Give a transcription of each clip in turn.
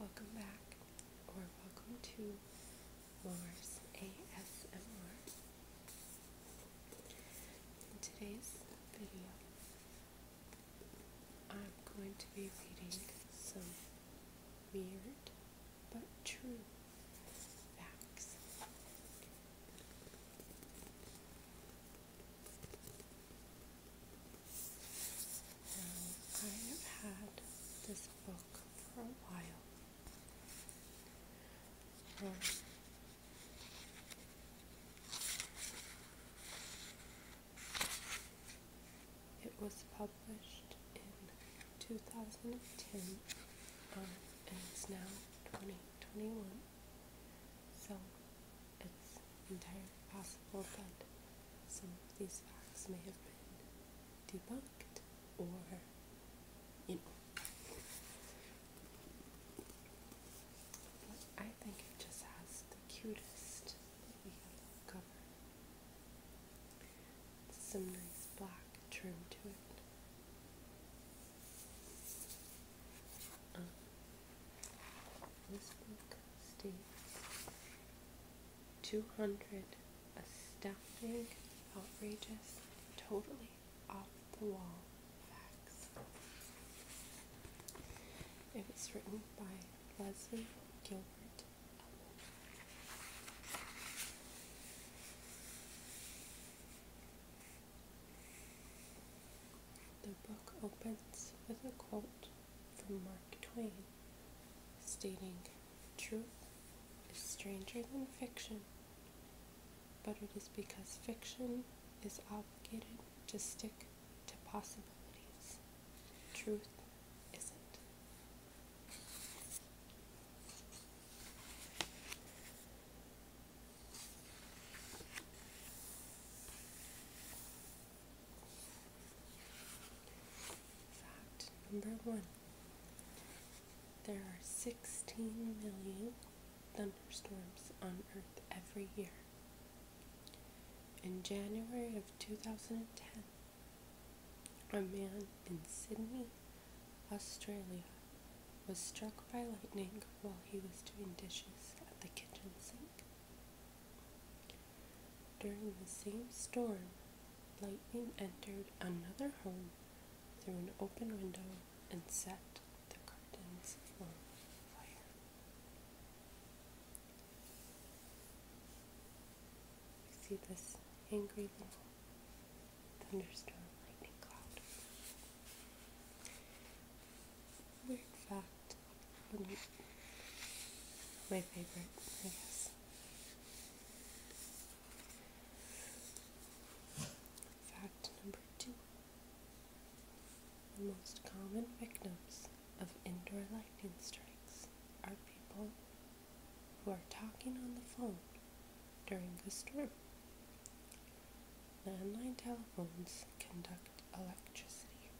Welcome back, or welcome to Mars ASMR. In today's video, I'm going to be reading some weird but true facts. I have had this book for a while. it was published in 2010 and it's now 2021. So it's entirely possible that some of these facts may have been debunked or, you know. But I think it just has the cutest cover. Some nice black trim to it. Um, this book states 200 astounding, outrageous, totally off the wall facts. It was written by Leslie Gilbert the book opens with a quote from Mark Twain stating, Truth is stranger than fiction, but it is because fiction is obligated to stick to possibilities. Truth isn't. Fact number one there are 16 million thunderstorms on Earth every year. In January of 2010, a man in Sydney, Australia was struck by lightning while he was doing dishes at the kitchen sink. During the same storm, lightning entered another home through an open window and set the curtains on fire. You see this angry little thunderstorm lightning cloud weird fact. My favorite, I Fact number two. The most common victims of indoor lightning strikes are people who are talking on the phone during the storm. The Landline telephones conduct electricity.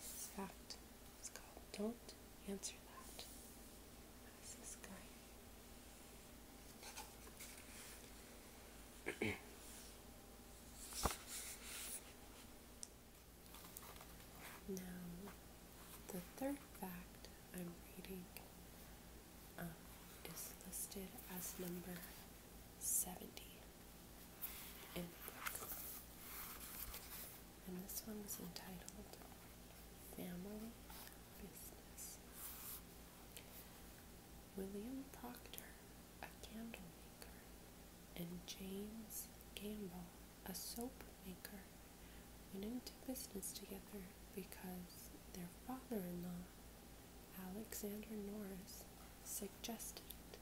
This fact is called Don't Answer That. That's guy. now, the third fact I'm reading um, uh, is listed as number 70 And this one is entitled Family Business. William Proctor, a candle maker, and James Gamble, a soap maker, went into business together because their father in law, Alexander Norris, suggested it.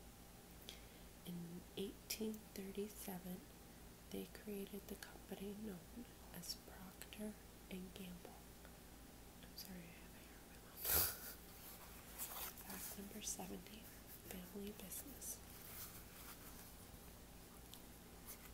In 1837, they created the company known as Procter and Gamble. I'm sorry, I have a hair on Fact number 70, family business.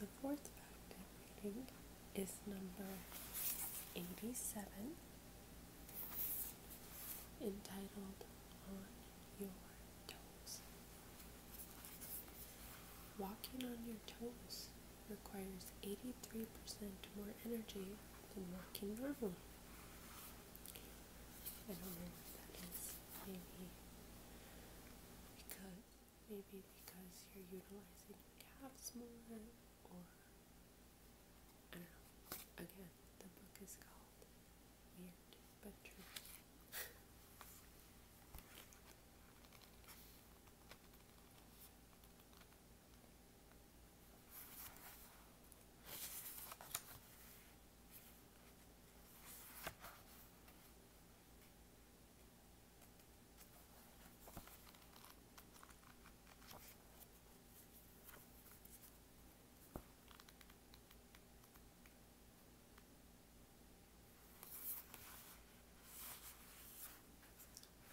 The fourth fact reading is number 87, entitled On Your Toes. Walking on your toes requires 83% more energy than walking normally. I don't know if that is maybe because Maybe because you're utilizing your calves more, or I don't know. Again, the book is called Weird But True.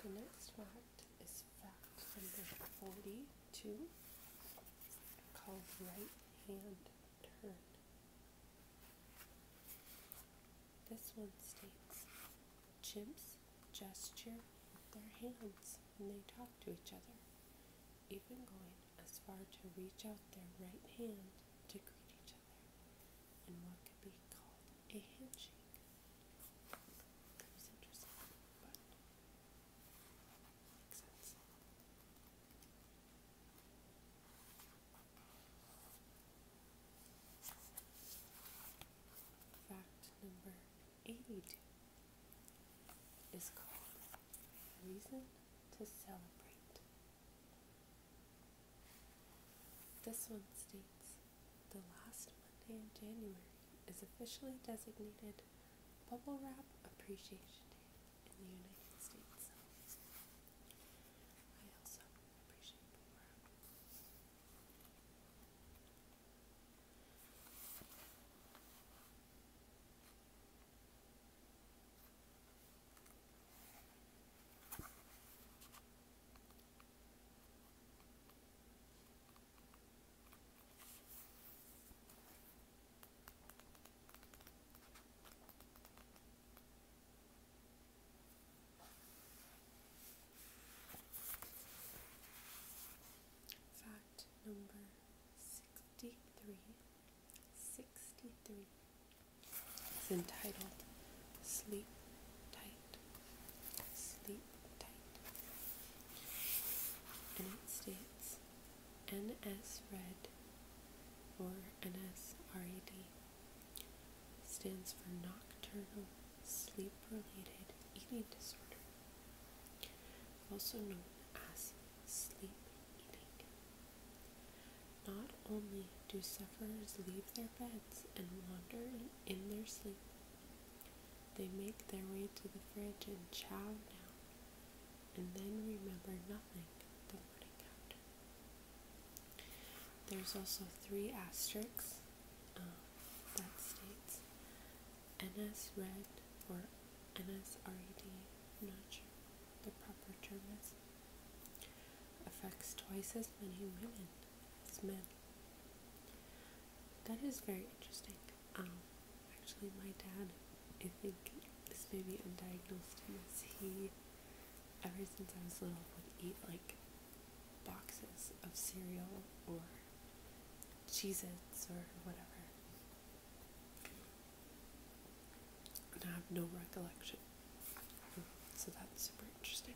The next fact is fact number 42 called Right Hand Turn. This one states chimps gesture with their hands when they talk to each other, even going as far to reach out their right hand to greet each other in what could be called a handshake. That interesting. Fact number 82 is called Reason to Celebrate. This one states the last Monday in January is officially designated Bubble Wrap Appreciation Day in the United States. I also appreciate Fact number 63. is entitled Sleep Tight. Sleep Tight. And it states NSRED or NSRED stands for Nocturnal Sleep Related Eating Disorder, also known as sleep eating. Not only do sufferers leave their beds and wander in their sleep, they make their way to the fridge and chow down and then remember nothing the morning after. There's also three asterisks um, that states NS red or NSRED, i not sure the proper term is, affects twice as many women as men. That is very interesting. Um, actually, my dad, I think this may be undiagnosed because he, ever since I was little, would eat like boxes of cereal or Cheez or whatever. And I have no recollection. So that's super interesting.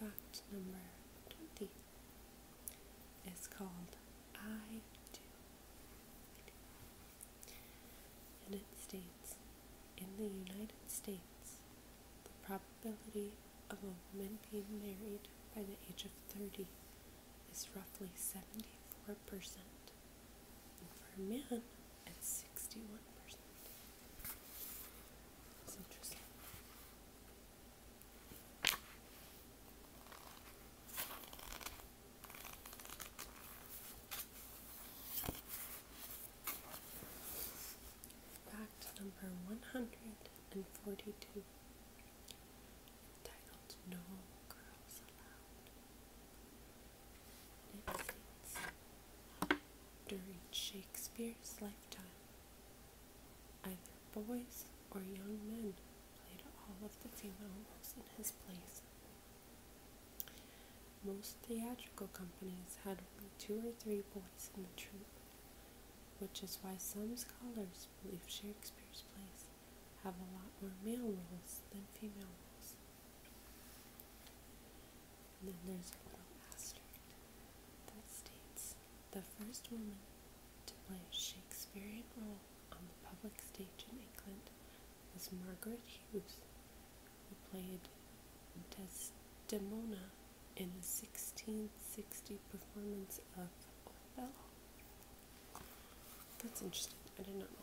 Fact number 20 is called I Do. And it states In the United States, the probability of a woman being married by the age of 30 is roughly 74%, and for a man, it's 61%. That's interesting. Fact number 142 titled No Girls Allowed. It states during Shakespeare's lifetime. Either boys or young men played all of the female roles in his plays. Most theatrical companies had two or three boys in the troupe, which is why some scholars believe Shakespeare's plays have a lot more male roles than female roles. And then there's a little asterisk that states the first woman to play a Shakespearean role on the public stage in England was Margaret Hughes, who played Desdemona in the 1660 performance of Othello. That's interesting. I did not know that.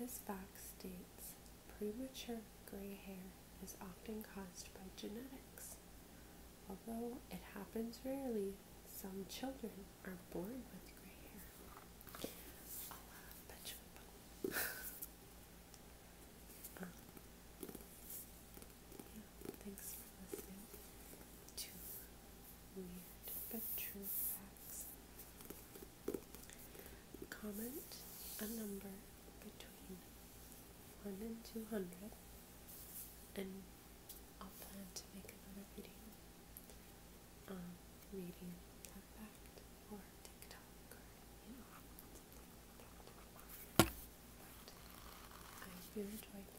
This box states premature gray hair is often caused by genetics. Although it happens rarely, some children are born with gray hair. Uh, thanks for listening to Weird True Facts. Comment a number between 1 and 200 and I'll plan to make another video um, reading that fact or TikTok or, you know. But I hope you enjoyed Bye.